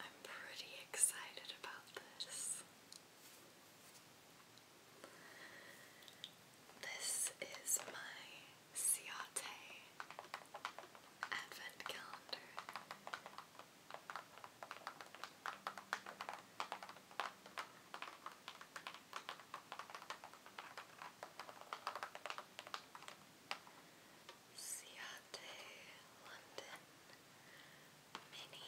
I'm pretty excited about this. This is my Ciate Advent Calendar. Ciate London Mini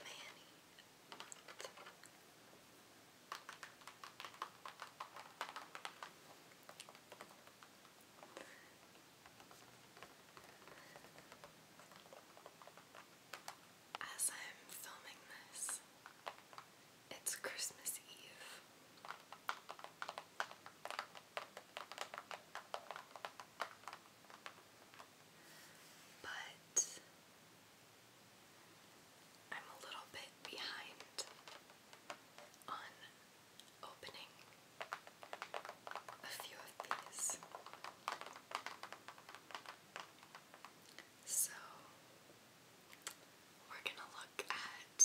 Manny As I'm filming this, it's Christmas Eve. But I'm a little bit behind on opening a few of these. So we're gonna look at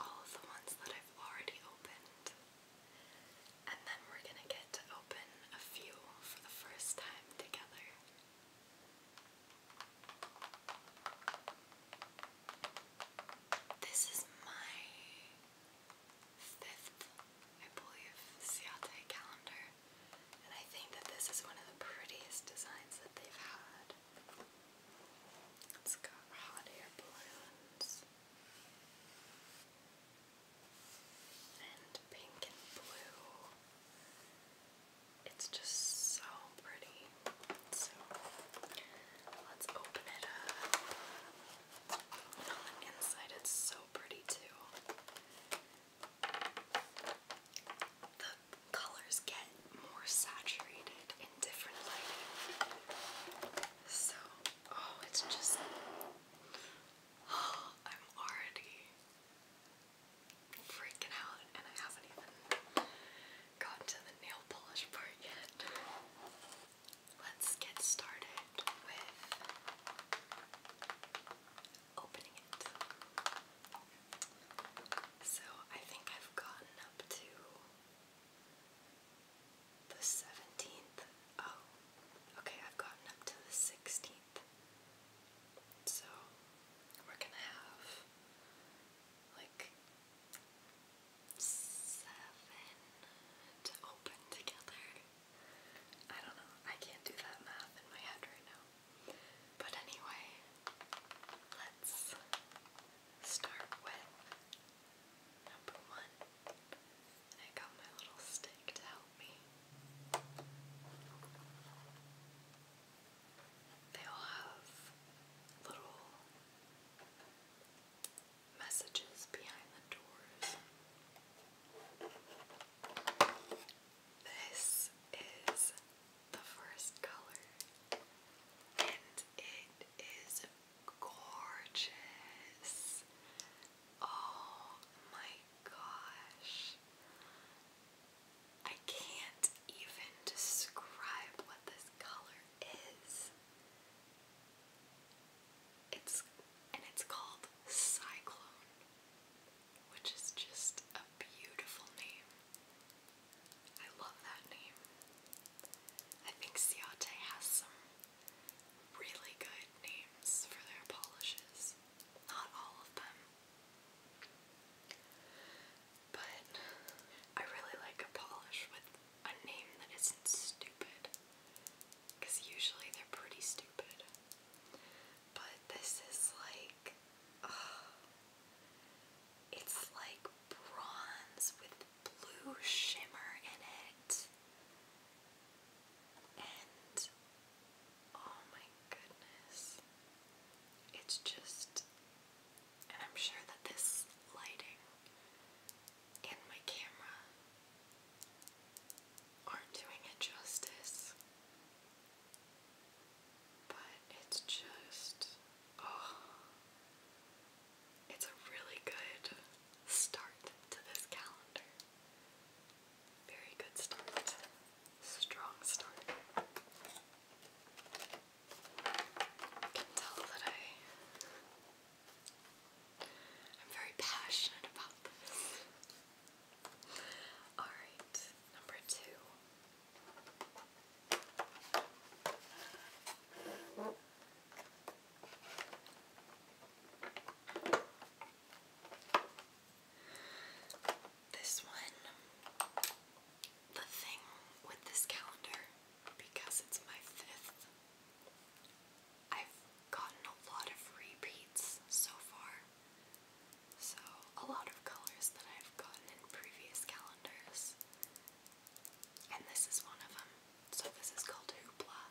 all of the ones that I've already opened, and then we're gonna get to open a few for the first time together. This is my fifth, I believe, Ciate calendar, and I think that this is one of the prettiest designs that they've had. It's got hot air balloons and pink and blue. It's just so pretty. So let's open it up. inside, it's so pretty too colors get more saturated in different lighting. So, oh, it's just. Oh, I'm already freaking out, and I haven't even gotten to the nail polish part yet. Let's get started with opening it. So I think I've gotten up to the 17th. Oh, okay, I've gotten up to the 16th. So we're gonna have like seven to open together. I don't know, I can't do that math in my head right now. But anyway, let's start with number one. I got my little stick to help me. They all have little messages behind the doors. This is the first color, and it is gorgeous. Oh my gosh. I can't even describe what this color is. It's and it's called Cyclone, which is just a beautiful name. I love that name. I think Ciate has some really good names for their polishes. Not all of them. But I really like a polish with a name that isn't stupid. Because usually they're pretty stupid. But this is like. It's like bronze with blue shimmer in it. And oh my goodness. It's just, and I'm sure that this lighting and my camera aren't doing it justice but it's just oh, it's a really good start to this calendar. Very good start. Strong start. can tell that I'm very passionate about this. Alright, number two. This one, the thing with this calendar, because it's my fifth, I've gotten a lot of repeats so far. So a lot of colors that I've gotten in previous calendars. And this is one of them. So this is called Hoopla.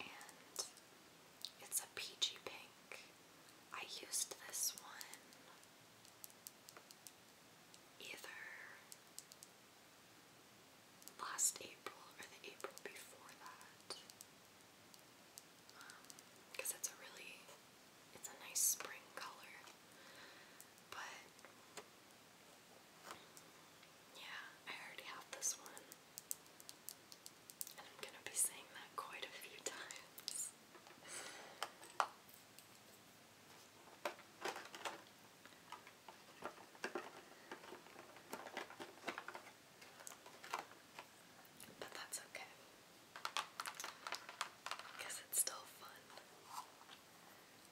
And it's a peachy pink. I used this one either last April or the April before that. Because um, it's a really it's a nice spring color. But yeah, I already have this one. And I'm gonna be saying that quite a few times. But that's okay. Guess it's still fun.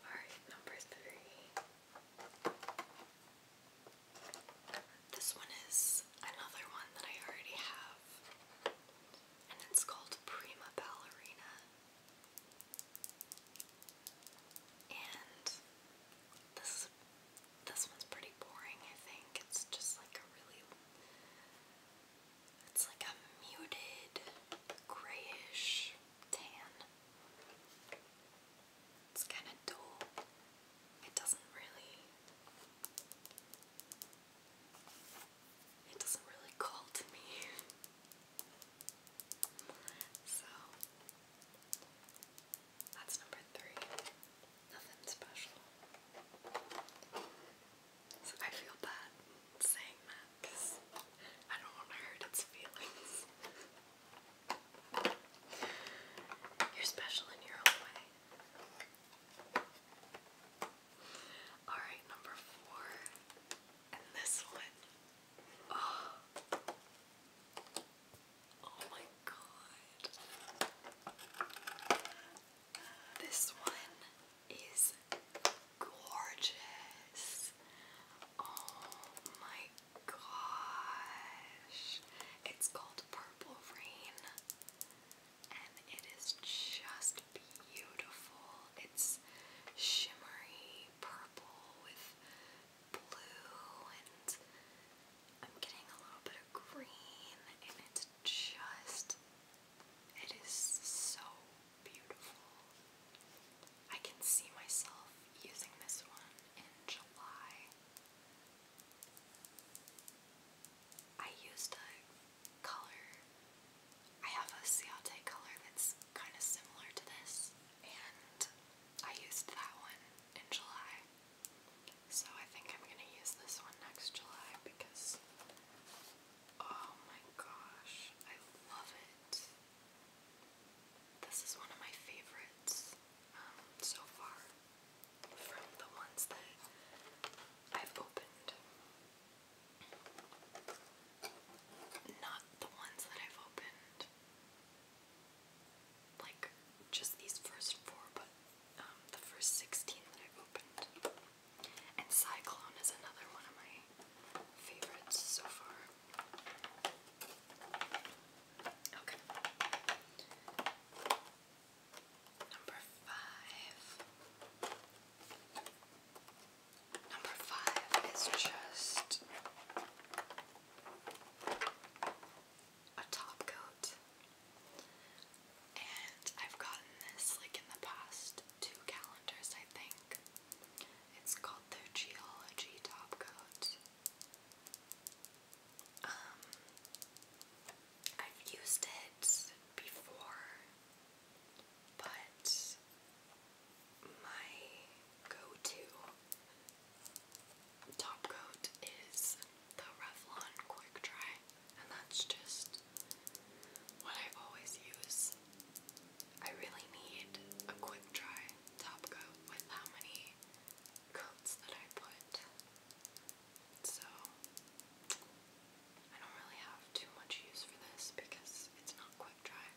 Alright, number three. This one is another one that I already have, and it's called Prima Ballerina. And this this one's pretty boring, I think. It's just like a really it's like a muted grayish tan. It's kind of dull. It doesn't really it doesn't really call to me. so that's number three. Nothing special. I feel bad saying that because I don't want to hurt its feelings. You're special in your own way. Alright, number four. And this one. oh, oh my god. This one is gorgeous. Oh my gosh. It's called Purple Rain and it is just beautiful. It's shimmery purple with blue and I'm getting a little bit of green and it's just it is so beautiful. I can see myself using this one in July. I used a color, I have a ciate color that's kind of similar to this, and I used that one in July. So I think I'm gonna use this one next July because Oh my gosh, I love it. This is one of my favorites um, so far from the ones that I've opened. Not the ones that I've opened, like just these first four, but um, the first 16 that I've opened. And Cyclone is another one of my favorites so far. Okay. Number five. Number five is just a top coat. And I've gotten this like in the past two calendars. I think. It's called their Geology Top Coat. Um, I've used it before, but my go to top coat is the Revlon Quick Dry, and that's just what I always use. I really need a quick dry top coat with how many coats that I put. So I don't really have too much use for this because it's not quick dry.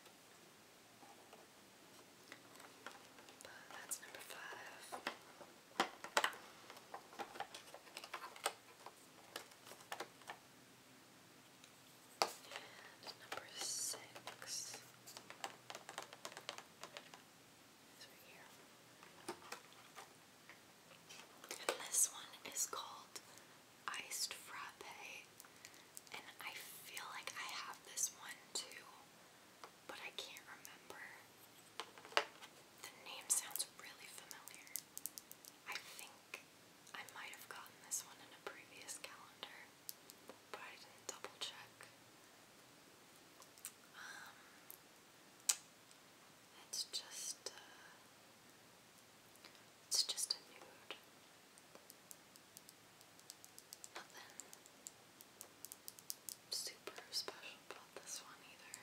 But that's number five number six this one is called Iced Frappe. And I feel like I have this one too, but I can't remember. The name sounds really familiar. I think I might have gotten this one in a previous calendar, but I didn't double check. Um, it's just, uh, it's just a nude. Nothing super special about this one either.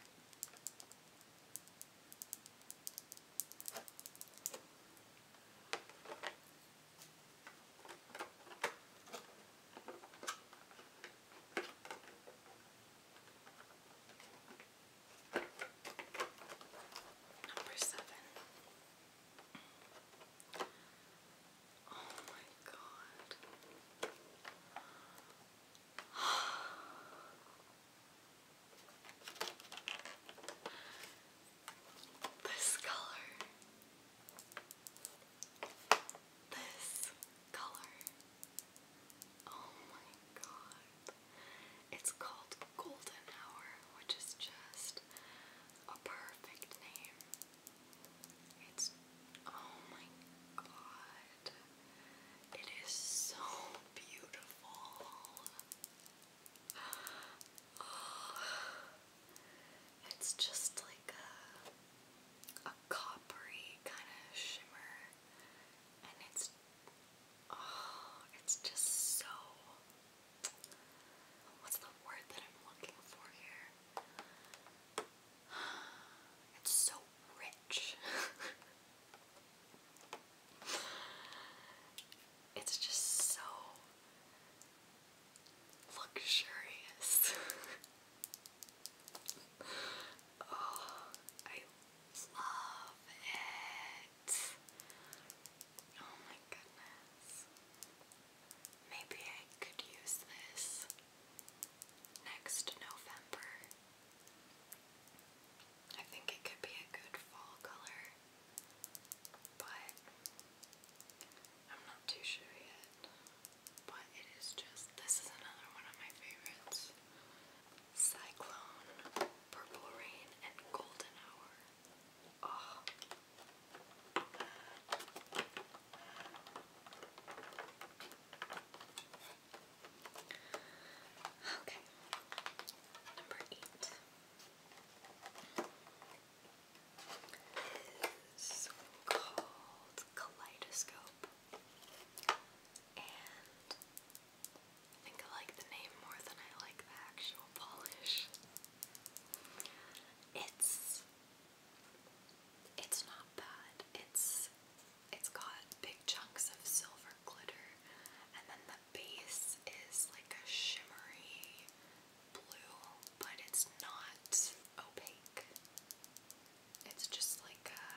Number seven. Oh my god. This color. This color. Oh my god. It's called Golden Hour, which is just a perfect name. It's oh my god. It is so beautiful. it's just like a, a coppery kind of shimmer, and it's oh, it's just so. What's the word that I'm looking for here? It's so rich. It's just so luxurious. Oh, I love it. Oh my goodness. Maybe I could use this next November. I think it could be a good fall color but I'm not too sure yet. But it is just this is another one of my favorites. Cyclone, Purple Rain, and Golden Hour. Oh. Okay. Number eight is called Kaleidoscope, and I think I like the name more than I like the actual polish. It's it's not bad. It's it's got big chunks of silver glitter, and then the base is like a shimmery blue, but it's not opaque. It's just like a.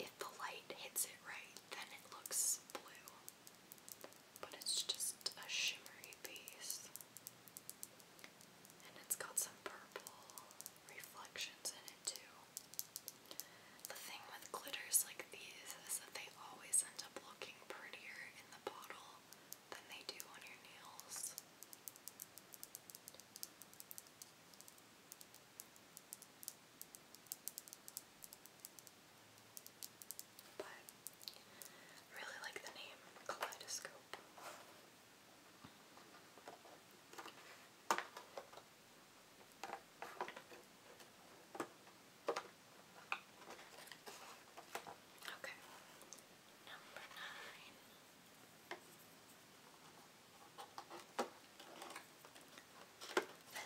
If the light hits it right, then it looks blue. But it's just a shimmery base. And it's got some purple reflections in it too. The thing with glitters like these is that they always end up looking prettier in the bottle than they do on your nails. But I really like the name Kaleidoscope. Okay, number nine.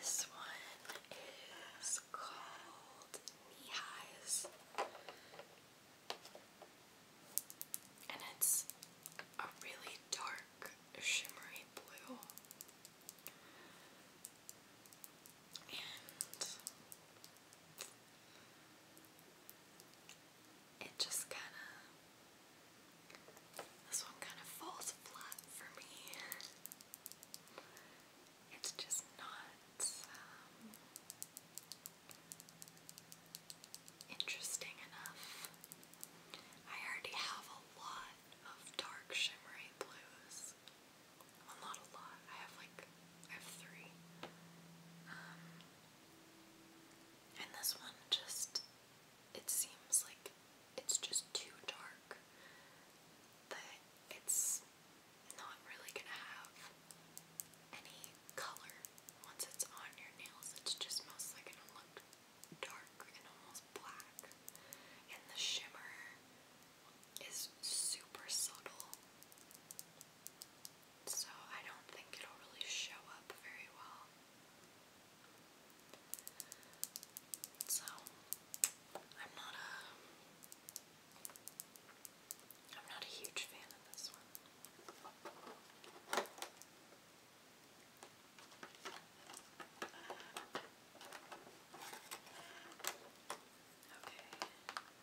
This one is called Knee And it's a really dark, shimmery blue it just kind of, this one kind of falls flat for me. It's just not um, interesting enough. I already have a lot of dark shimmery blues. Well, not a lot. I have like, I have three. Um, and this one just, it seems like it's just too dark that it's not really gonna have any color once it's on your nails. It's just mostly gonna look dark and almost black. And the shimmer is super subtle. So I don't think it'll really show up very well. So I'm not a I'm not a huge fan of this one. Okay,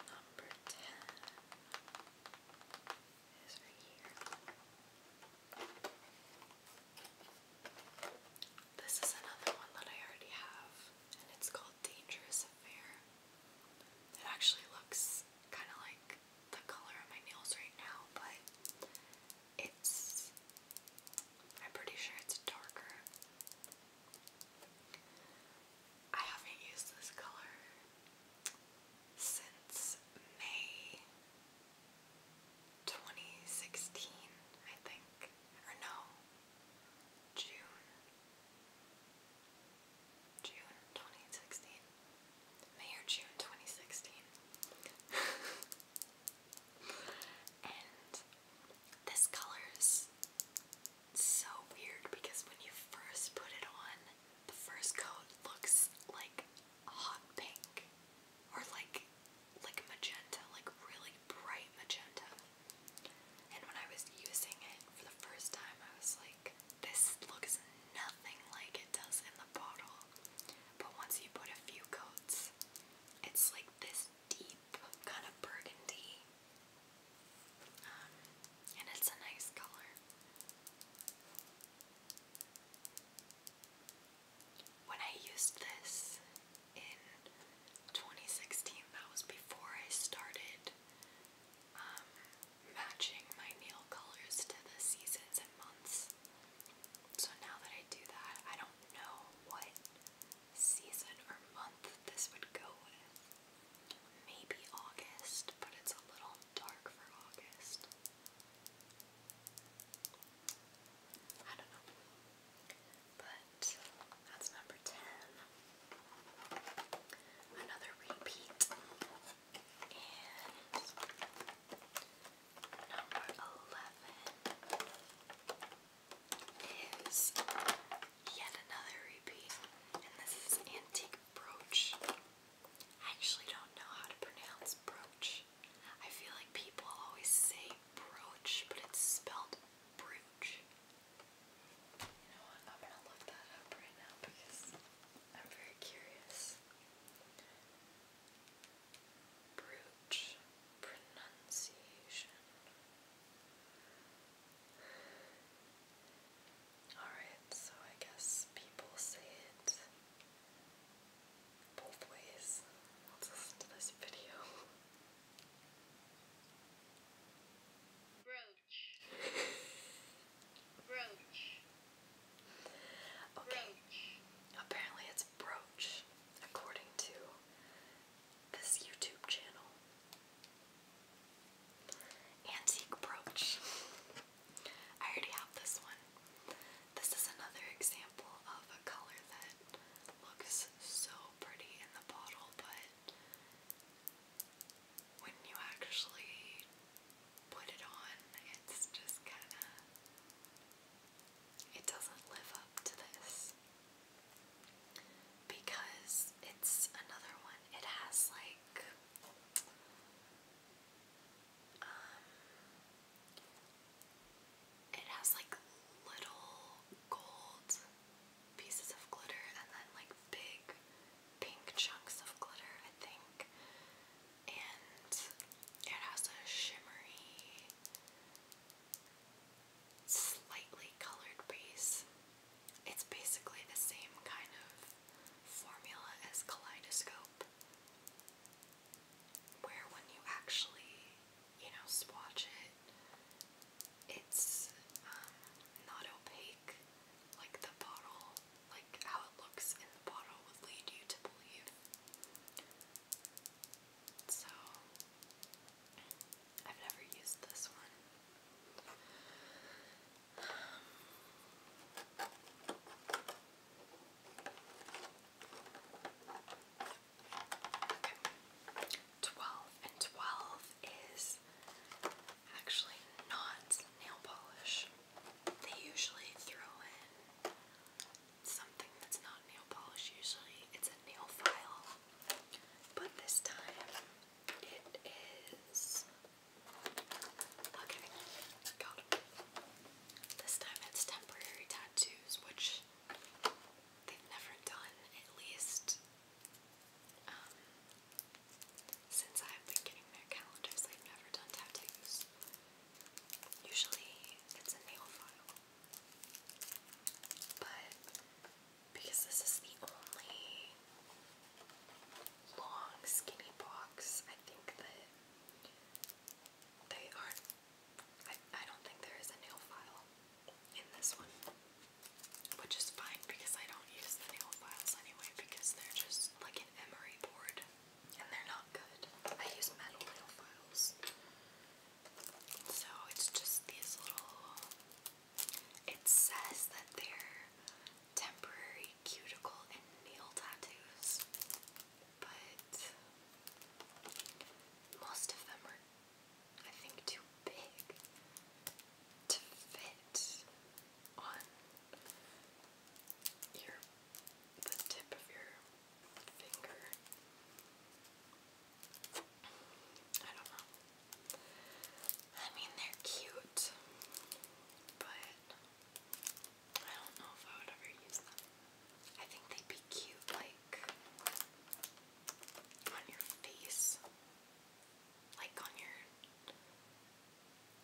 number 10 is right here. This is another one that I already have, and it's called Dangerous Affair. It actually looks kind of like the color of my nails right now, but it's. I'm pretty sure it's darker. I haven't used this color since May 2016, I think. Or no, June. June 2016. May or June 2016. and this color is so weird because when you first put it on, the first coat looks like hot pink or like like magenta, like really bright magenta. And when I was using it for the first time, I was like, this looks nothing like it does in the bottle. But once you put a few coats, it's like this deep kind of burgundy. Um, and it's a nice color. When I used this in 2016, that was before I started um, matching my nail colors to the seasons and months. So now that I do that, I don't know what season or month this would go with. Maybe August, but it's a little dark for August. I don't know. But that's number 10. Another repeat. And number 11 is yet another repeat, and this is Antique Brooch. I actually don't know how to pronounce brooch. I feel like people always say brooch, but it's spelled brooch. You know what? I'm gonna look that up right now because I'm very curious. Brooch pronunciation. Alright, so I guess people say it both ways. Let's listen to this video. Brooch. brooch. Brooch. Apparently it's brooch, according to this YouTube channel. Antique brooch. I already have this one. This is another example of a color that looks so pretty in the bottle, but when you actually put it on, it's just kind of it doesn't live up to this because it's another one. It has like um, it has like little gold pieces of glitter and then like big pink chunks of glitter, I think. And it has a shimmery slightly colored base. It's basically the same kind of formula as Kaleidoscope, where when you actually, you know, swatch it, it's um, not opaque like the bottle, like how it looks in the bottle would lead you to believe. So, 12 and 12 is actually not nail polish. They usually throw in something that's not nail polish, usually, it's a nail file. But this time it is. Okay, This time it's temporary tattoos, which they've never done, at least um, since I've been getting their calendars, they've never done tattoos. Usually it's a nail file. But because this is the only long skinny box, I think that they aren't. I, I don't think there is a nail file in this one. Which is fine because I don't use the nail files anyway because they're just like an emery board and they're not good. I use metal nail files. So it's just these little. It says that they're temporary cuticle and nail tattoos, but most of them are, I think, too big to fit on your the tip of your finger. I don't know. I mean, they're cute, but I don't know if I would ever use them. I think they'd be cute, like on your face, like on your,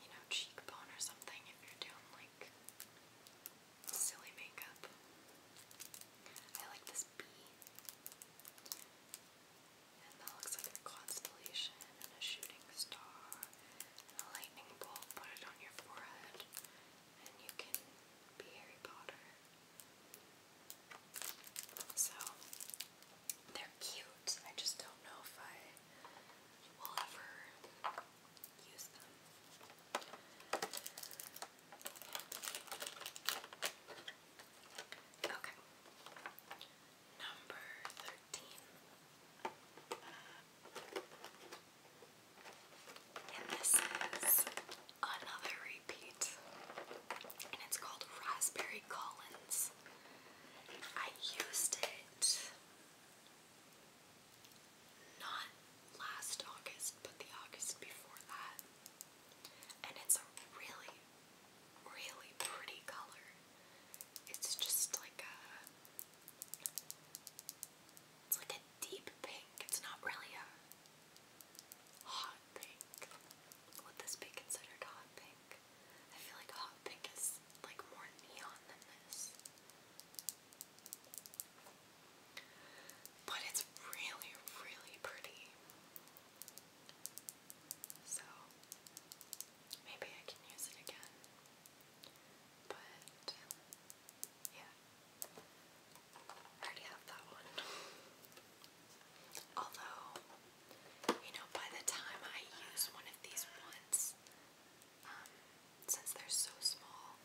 you know, cheekbone or something if you're doing like silly makeup. I like this bee. And looks like a constellation and a shooting star and a lightning bolt. Put it on your forehead and you can be Harry Potter. So, they're cute. I just don't know if I will ever use them. Okay. Number 13. And this is another repeat. And it's called Raspberry Collins. I used it not last August, but the August before that. And it's a really, really pretty color. It's just like a. It's like a deep pink. It's not really a hot pink. Would this be considered hot pink? I feel like hot pink is like more neon than this. But it's really, really pretty. So maybe I can use it again. But yeah. I already have that one. Although, you know, by the time I use one of these once, um, since they're so small,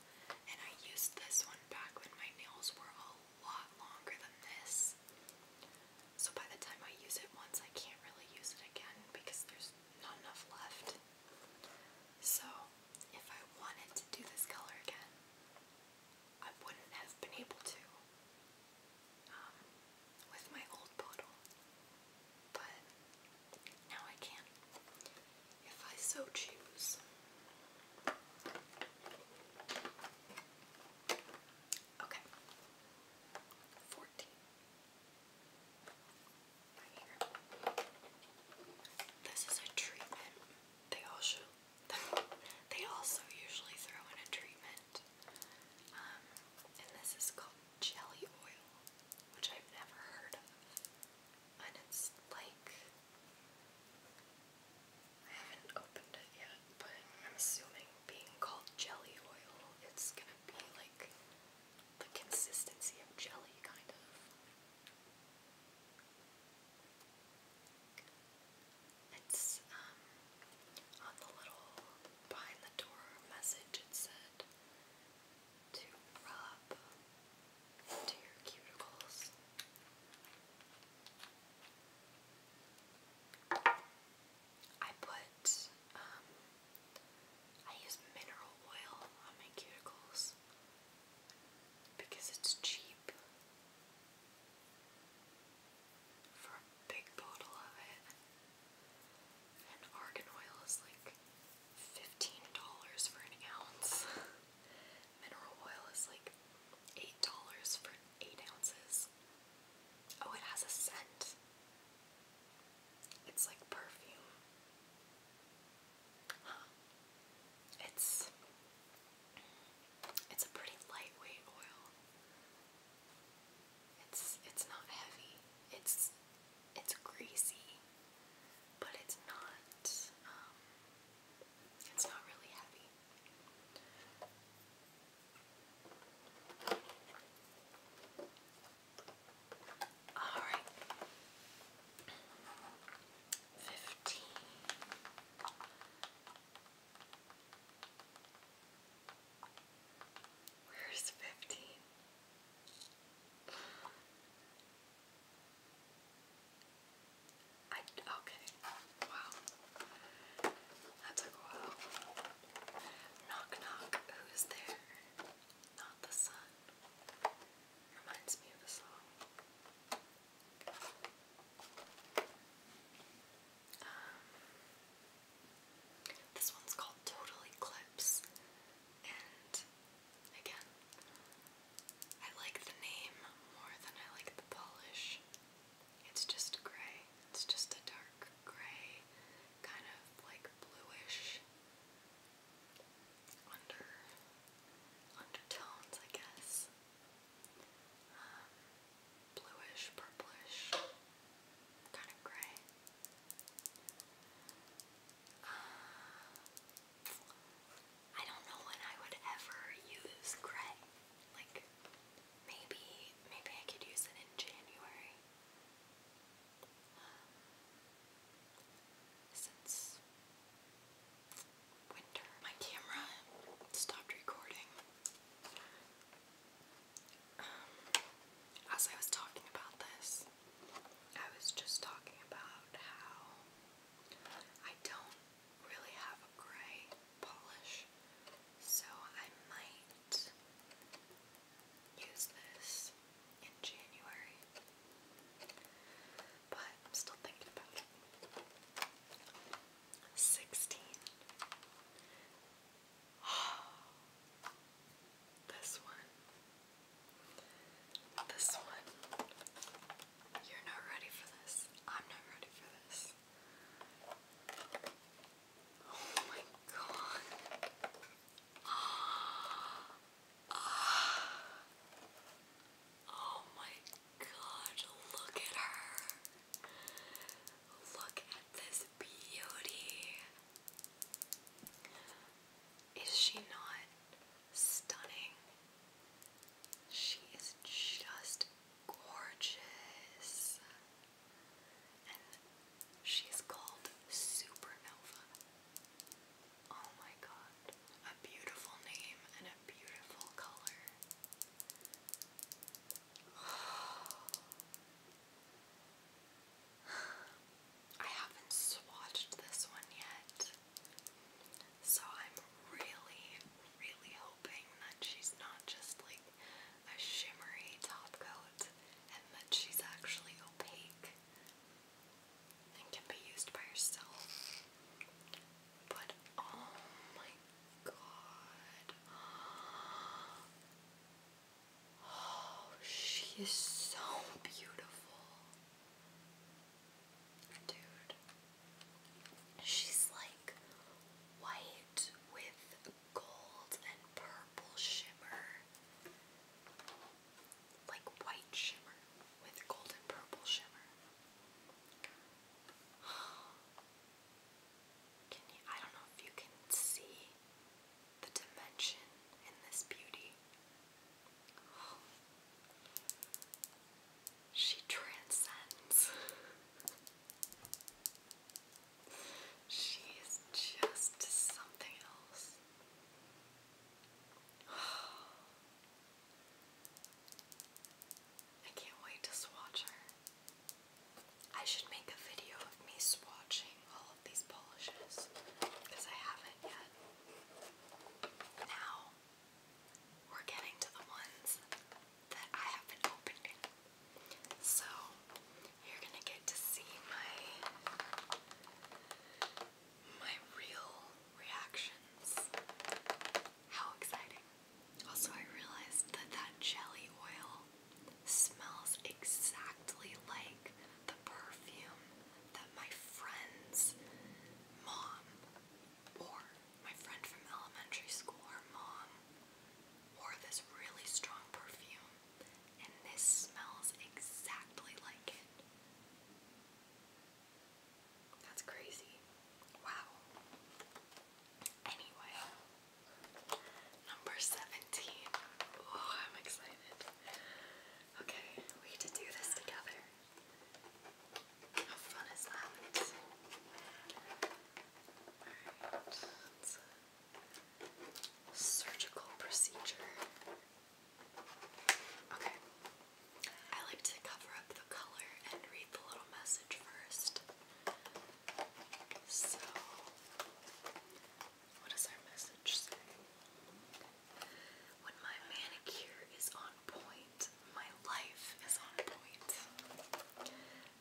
and I used this one back when my nails were all lot longer than this. So by the time I use it once, I can't really use it again because there's not enough left. So if I wanted to do this color again, I wouldn't have been able to um, with my old bottle. But now I can. If I so choose. Okay. Fourteen. Right here. This is a treatment. They all they also usually throw in a treatment. Um, and this is called jelly oil, which I've never heard of. And it's like I haven't opened it yet, but I'm assuming being called jelly oil, it's gonna be like the consistency of jelly, kind of. It's, um, on the little behind the door message, it said to rub into your cuticles. I put, um, I use mineral oil on my cuticles because it's cheap for a big bottle of it. And argan oil is like $15 for an ounce. Mineral oil is like $8 for eight ounces. Oh, it has a scent. It's like perfume. It's it's a pretty lightweight oil. It's it's not heavy. It's it's greasy, but it's not um, it's not really heavy. All right. Fifteen. Where's fifteen? okay, wow. That took a while. Knock knock, who's there? Not the sun. Reminds me of a song. Um, this one's called Total Eclipse, and again, I like the name more than I like the polish. It's just gray. It's just a dark gray, kind of like bluish undertones, I guess. Um, bluish, purplish, kind of gray. Um, I don't know when I would ever use gray. Like, Maybe, maybe I could use it in January. Um, since winter, my camera stopped recording. Um, as I was talking about this, I was just talking about how I don't really have a gray polish, so I might use this in January. But I'm still thinking about it. 16. This one. This one. You're not ready for this. I'm not ready for this. Oh my god. Oh my god, look at her. Look at this beauty. Is she not stunning? She is just gorgeous. And she's called Supernova. Oh my god. A beautiful name and a beautiful color. I haven't swatched this one yet. So I'm really, really hoping that she's not just like a shimmery top coat and that she's actually opaque and can be used by herself. But oh my god. Oh, she is so beautiful. Dude, She's like white with gold and purple shimmer. Like white shimmer with gold and purple shimmer. Can you I don't know if you can see the dimension in this beauty. She transcends. she is just something else. I can't wait to swatch her. I should make a video of me swatching all of these polishes because I haven't yet. Now we're getting to the ones that I haven't opened So you're gonna get to see my my real reactions. How exciting. Also I realized that that jelly oil smells exactly like the perfume that my friend's mom wore. My friend from elementary school, her mom, wore this really strong perfume, and this smells exactly like it. That's crazy. Wow. Anyway, number 17. Oh, I'm excited. Okay, we get to do this together. How fun is that? surgical procedure. Okay. I like to cover up the color and read the little message first. So, what does our message say? When my manicure is on point, my life is on point.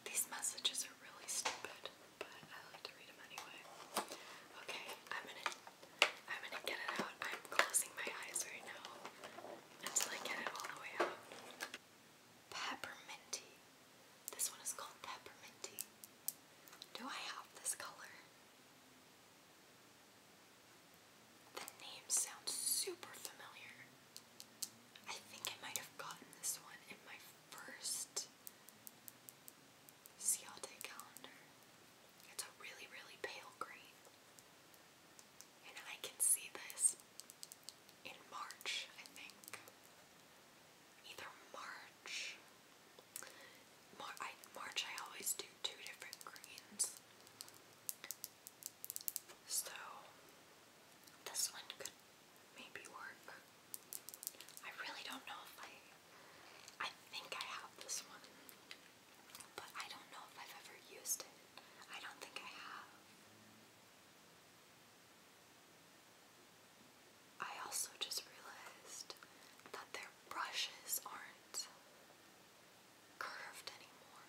These messages are really stupid, but I like to read them anyway. Okay, I'm gonna I'm gonna get it out. I'm closing my eyes right now until I get it all the way out. Pepperminty. This one is called Pepperminty. Do I have this color? The name sounds super familiar. I think I might have gotten this one in my first Cialte calendar. It's a really, really pale green. And I can see this in March, I think. Either March. March, I always do two different greens. So, this one could maybe work. I really don't know if I, I think I have this one, but I don't know if I've ever used it. I don't think I have. I also just realized that their brushes aren't curved anymore.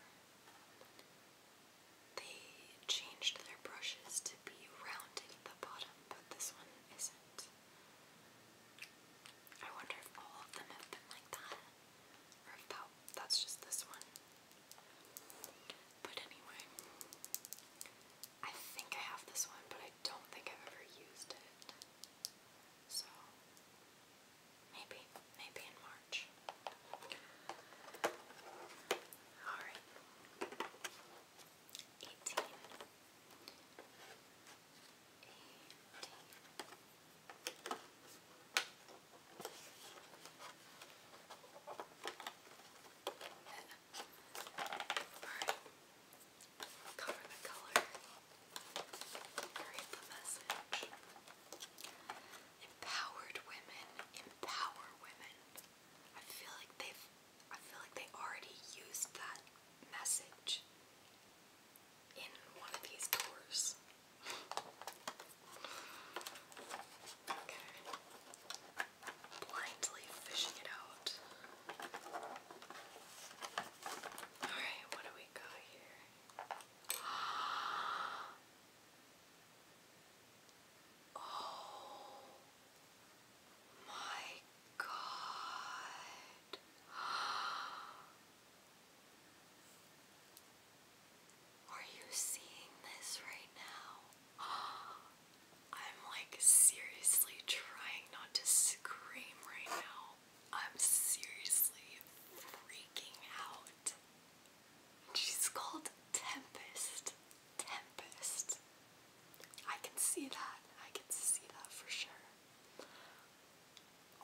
They changed their brushes to be rounded at the bottom, but this one isn't. I wonder if all of them have been like that, or if that's just this one. But anyway, I think I have this one, but I don't think I've ever used it. So, maybe, maybe in March. All right. Eighteen. Eighteen. Alright, cover the color, create the message. Empowered women, empower women. I feel like they've I feel like they already used that message in one of these tours. okay. Blindly fishing it out. Alright, what do we got here? Oh my God. Are you seeing this right now? I'm like seriously trying not to scream right now. I'm seriously freaking out. She's called Tempest. Tempest. I can see that. I can see that for sure.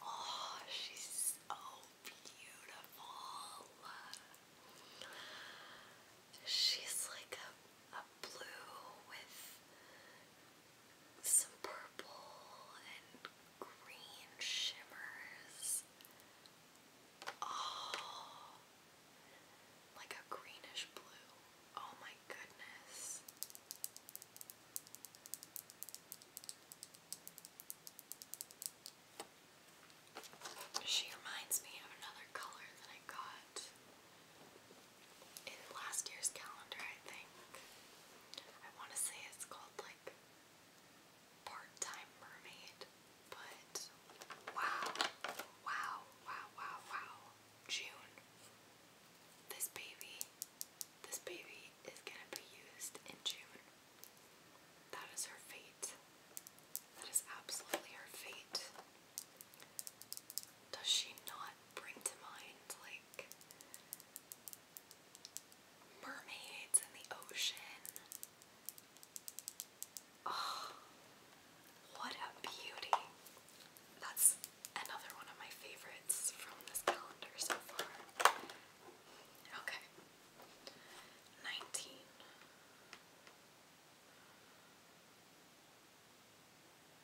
Oh, she's so beautiful. She's like a, a blue with some purple and green shimmers. Oh, like a greenish blue. Oh my goodness. She reminds me of another color that I got in last year's calendar, I think. I want to say it's called like part-time mermaid, but wow, wow, wow, wow, wow, June. This baby, this baby is gonna be used in June. That is her fate. That is absolutely her fate. Does she not bring to mind, like, mermaids in the ocean Oh, what a beauty. That's another one of my favorites from this calendar so far. Okay. 19.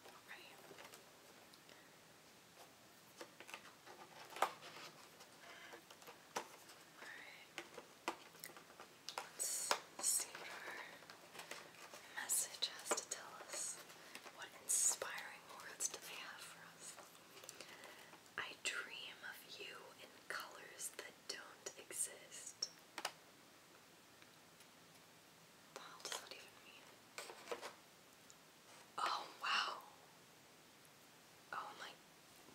Alright. Let's see what our message has to tell us. What inspiring words do they have for us? I dream of you in colors that don't exist. What the even mean? Oh wow. Oh my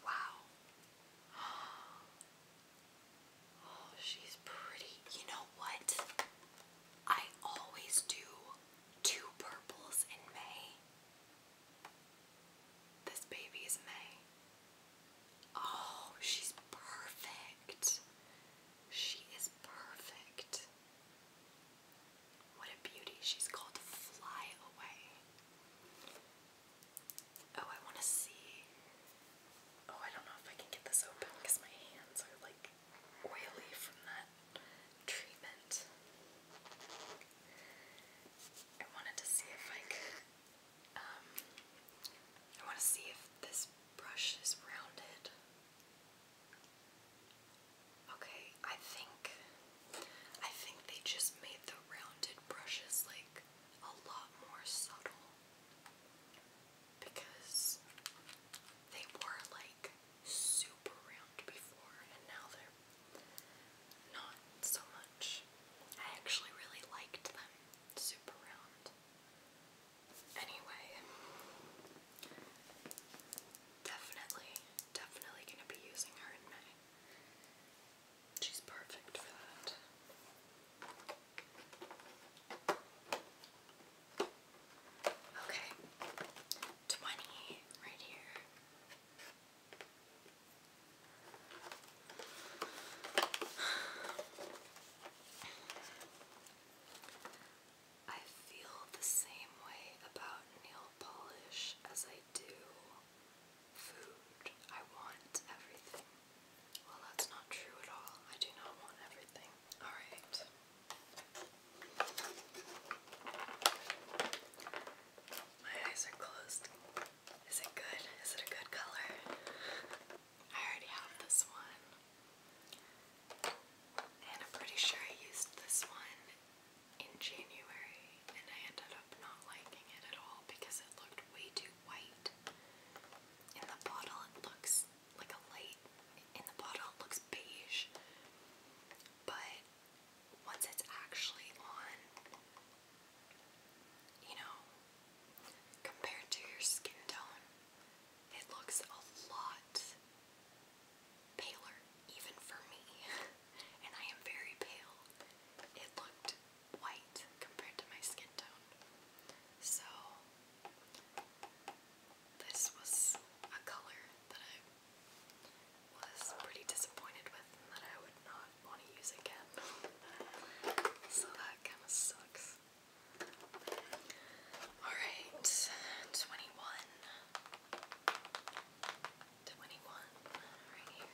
wow. Oh, she's pretty. You know what? I always do two purples in May. This baby is May. Oh, she's perfect. She is perfect. What a beauty. She's called Fly Away. Oh, I want to see. Oh, I don't know if I can get this open because my hands are like oily from that treatment. I wanted to see if I could. Um, I want to see if this brush is rounded. Okay, I think I think they just made the rounded brushes like a lot more subtle because they were like super round before and now they're not so much. I actually really liked them super round. Anyway, definitely, definitely gonna be using her in my She's perfect for that. Okay, 20 right here. I feel the same way about nail polish as I do food. I want everything well, that's not true at all. I do not want everything. Alright. My eyes are closed. Is it good? Is it a good color? I already have this one. And I'm pretty sure I used this one in January and I ended up not liking it at all because it looked way too white. In the bottle, it looks like a light. In the bottle, it looks beige. But once it's actually on, you know, compared to your skin tone, it looks a lot paler, even for me. and I am very pale. It looked white compared to my skin tone. So, this was a color that I was pretty disappointed with and that I would not want to use again. so, that kind of sucks. Alright, 21. right here.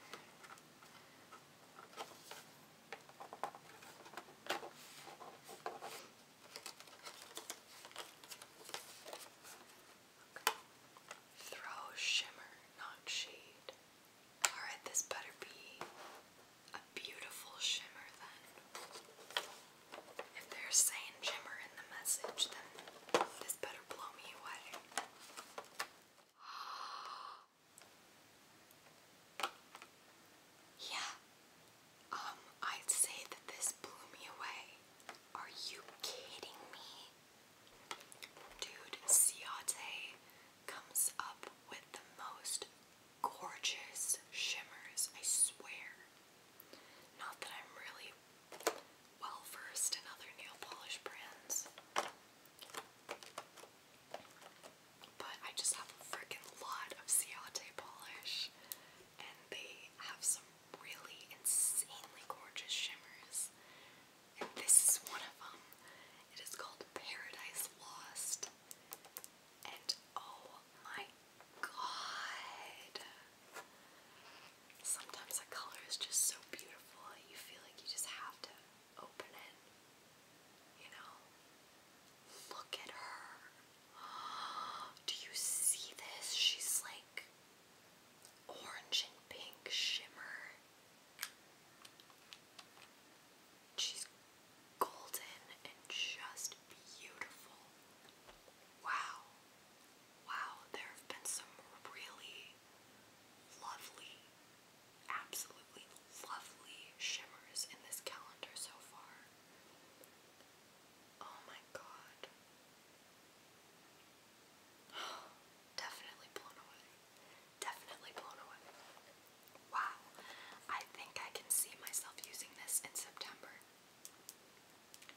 Throw shimmer, not shade. Alright, this better be a beautiful shimmer then. If they're saying shimmer in the message, then this better blow me away. Yeah. Um, I'd say that this blew me away. Are you kidding me? Dude, Ciate comes up with the most gorgeous shimmers, I swear. Not that I'm really well versed in other nail polish brands. But I just have a freaking lot of Ciate polish, and they have some really insanely gorgeous shimmers. And this is one of them. It is called Paradise Lost. And oh my god. Sometimes a color is just so beautiful, you feel like you just have to Open it. You know? Look at her. Do you see this? She's like orange and pink shimmer. She's golden and just beautiful. Wow. Wow, there have been some really lovely absolutely lovely shimmers in this calendar so far. Oh my god. Definitely blown away. Definitely blown away. Wow. I think I can see myself using this in September.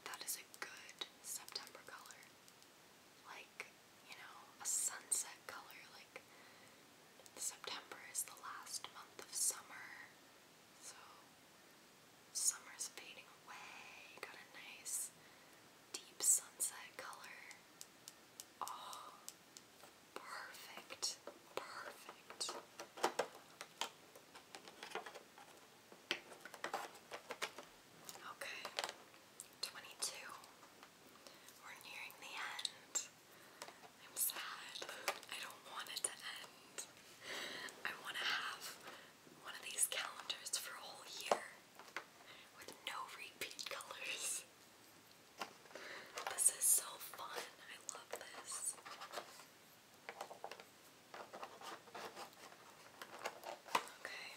That is a good September color. Like, you know, a sunset color. Like, September is the last month of summer, so summer's fading away. Got a nice deep sunset color. Oh, perfect, perfect. Okay, 22. We're nearing the end. I'm sad. I don't want it to end. I want to have one of these calendars for a whole year with no repeat colors. This is so fun. I love this. Okay.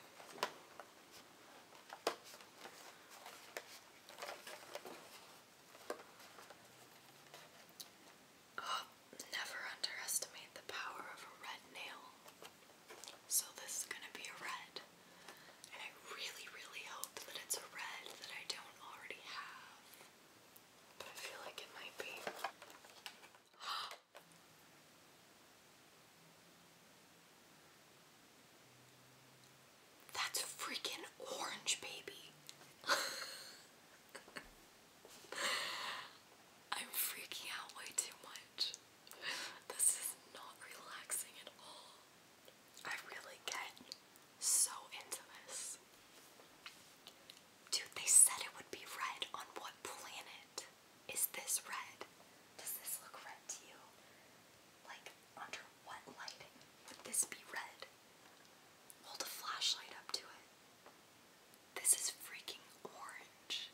Oh, never underestimate the power of a red nail. So this is gonna be a red. And I really, really hope that it's a red that I don't already have. But I feel like it might be. That's freaking orange, baby. I'm freaking out way too much. This is not relaxing at all. I really get so into this. Dude, they said it would be red. On what planet is this red? Does this look red to you? Like, under what lighting would this be red? Hold a flashlight up to it. This is freaking orange.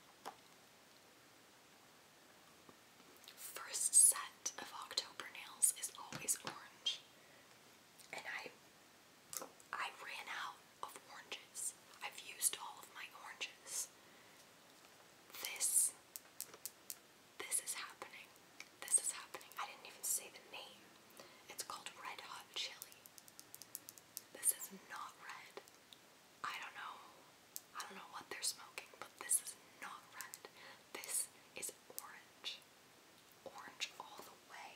First set of October nails is always orange. And I I ran out of oranges. I've used all of my oranges. This this is happening. This is happening. I didn't even say the name. It's called Red Hot Chili. This is not red. I don't know. I don't know what they're smoking, but this is not red. This is orange. Orange all the way.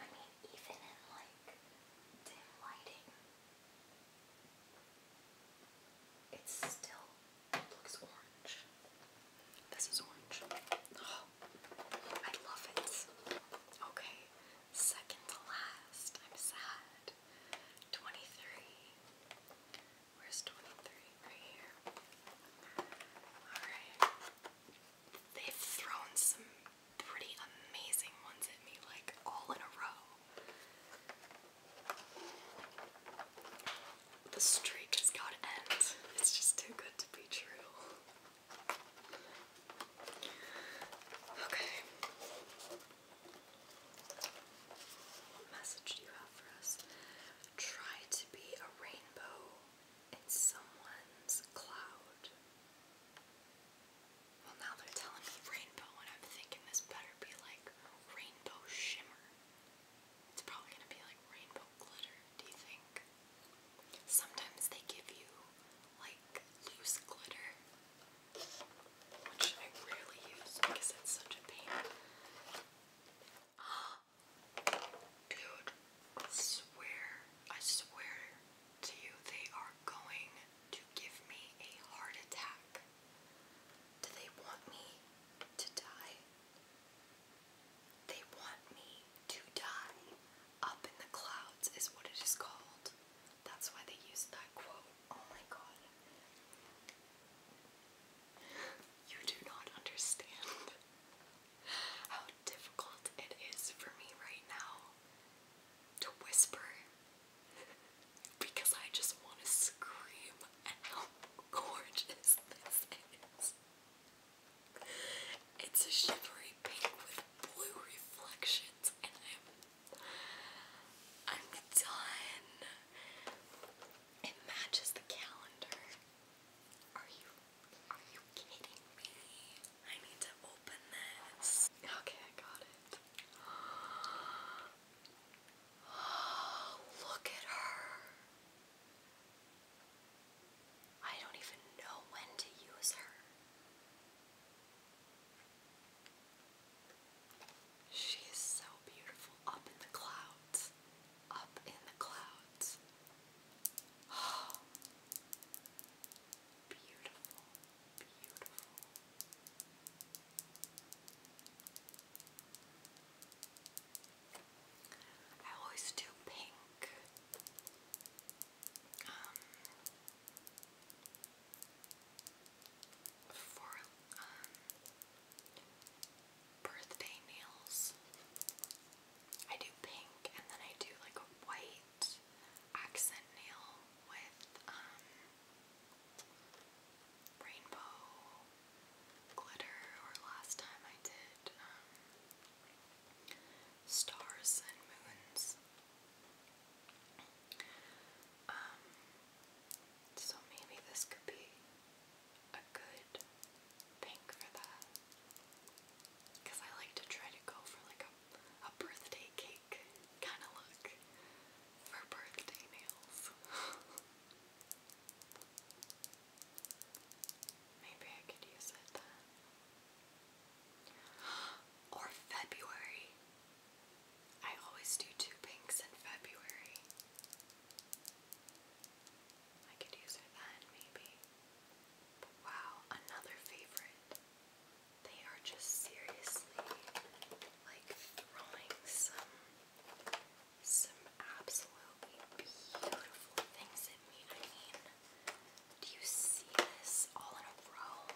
I mean, even in like dim lighting, it still looks orange. This is orange. Oh, I love it. Okay, second to last. I'm sad. 23. Where's 23? Right here. Alright. They've thrown some pretty amazing ones at me, like all in a row. The streak has got to end. It's just too good to be true. Okay. Try to be a rainbow in someone's cloud. Well, now they're telling me rainbow, and I'm thinking this better be like rainbow shimmer. It's probably gonna be like rainbow glitter, do you think? Sometimes they give you like loose glitter, which I rarely use because it's such a pain. Dude, I swear, I swear to you, they are going to give me a heart attack. Do they want me to die? They want me to die. Up in the clouds is what it is called. That's why they used that quote. Oh my god. You do not understand how difficult it is for me right now to whisper because I just want to scream how gorgeous this is. It's a shimmery pink with blue reflections, and I'm I'm done. It matches the calendar. Are you are you kidding me? I need to open this. Okay, I got it. look at her. I don't even know when to use her. She is so beautiful up in the clouds. Up in the clouds. beautiful, beautiful. I always do pink. Um, for um, birthday nails, I do pink and then I do like a white accent nail with um, rainbow glitter, or last time I did um, stars and moons. Um, so maybe this could be a good pink for that. Because I like to try to go for like a, a birthday cake kind of look for birthday nails. Maybe I could use it then. Or February. I always do two pinks in February. I could use it then, maybe. wow, another favorite. They are just seriously like throwing some some absolutely beautiful things in me. I mean, do you see this all in a row?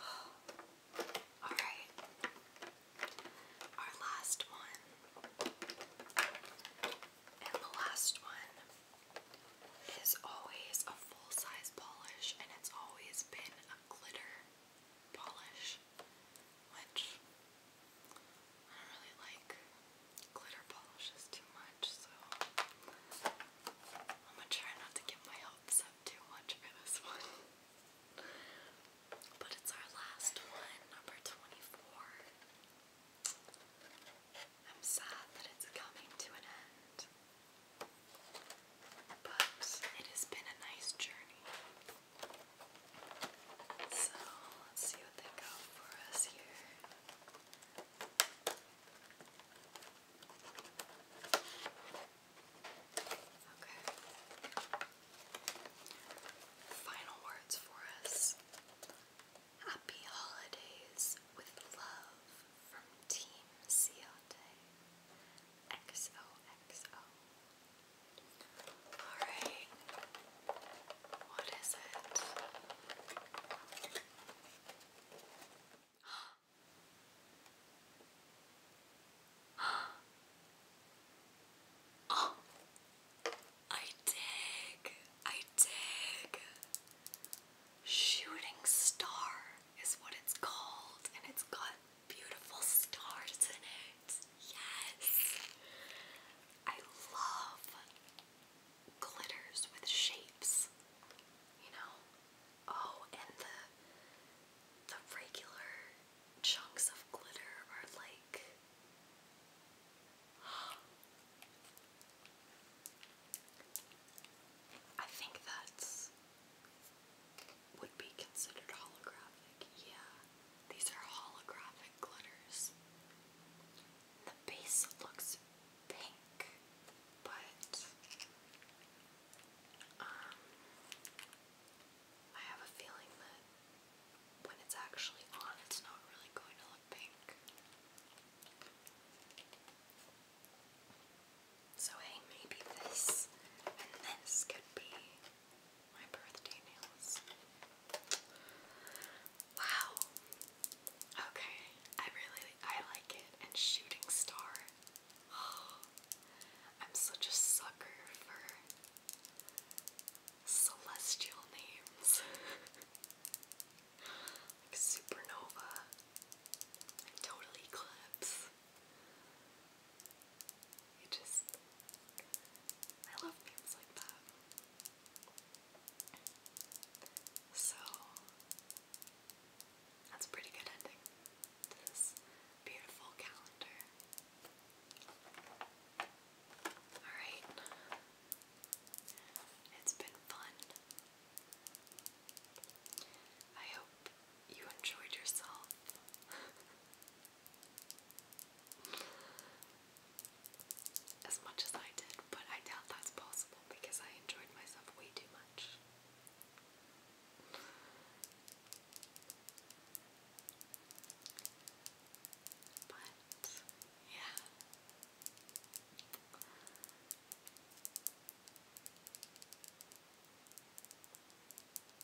Alright. Our last one. And the last one is always a full size polish, and it's always been a glitter polish, which I don't really like glitter polishes too much, so I'm gonna try not to get my hopes up too much for this one. but it's our last one, number 24. I'm sad that it's coming to an end. But it has been a nice journey. So let's see what they got for us here. Okay. Final words for us. Happy holidays with love from Team Ciote. XOXO. Alright. What is it? I dig. I dig. Shooting star is what it's called, and it's got beautiful stars in it. Yes. I love glitters with shapes. You know? Oh, and the the regular chunks of glitter are like I think that's would be considered holographic. Yeah, these are holographic glitters. The base looks pink, but um, I have a feeling that when it's actually on, it's not really going to look pink. So, hey, maybe this and this could be my birthday nails. Wow. Okay, I really I like it. And shooting star. I'm such a sucker for celestial names. supernova. total eclipse. You just. I love names like that. So. That's a pretty good ending to this beautiful calendar. Alright. It's been fun. I hope you enjoyed yourself. as much as I did, but I doubt that's possible because I enjoyed myself way too much. But, yeah.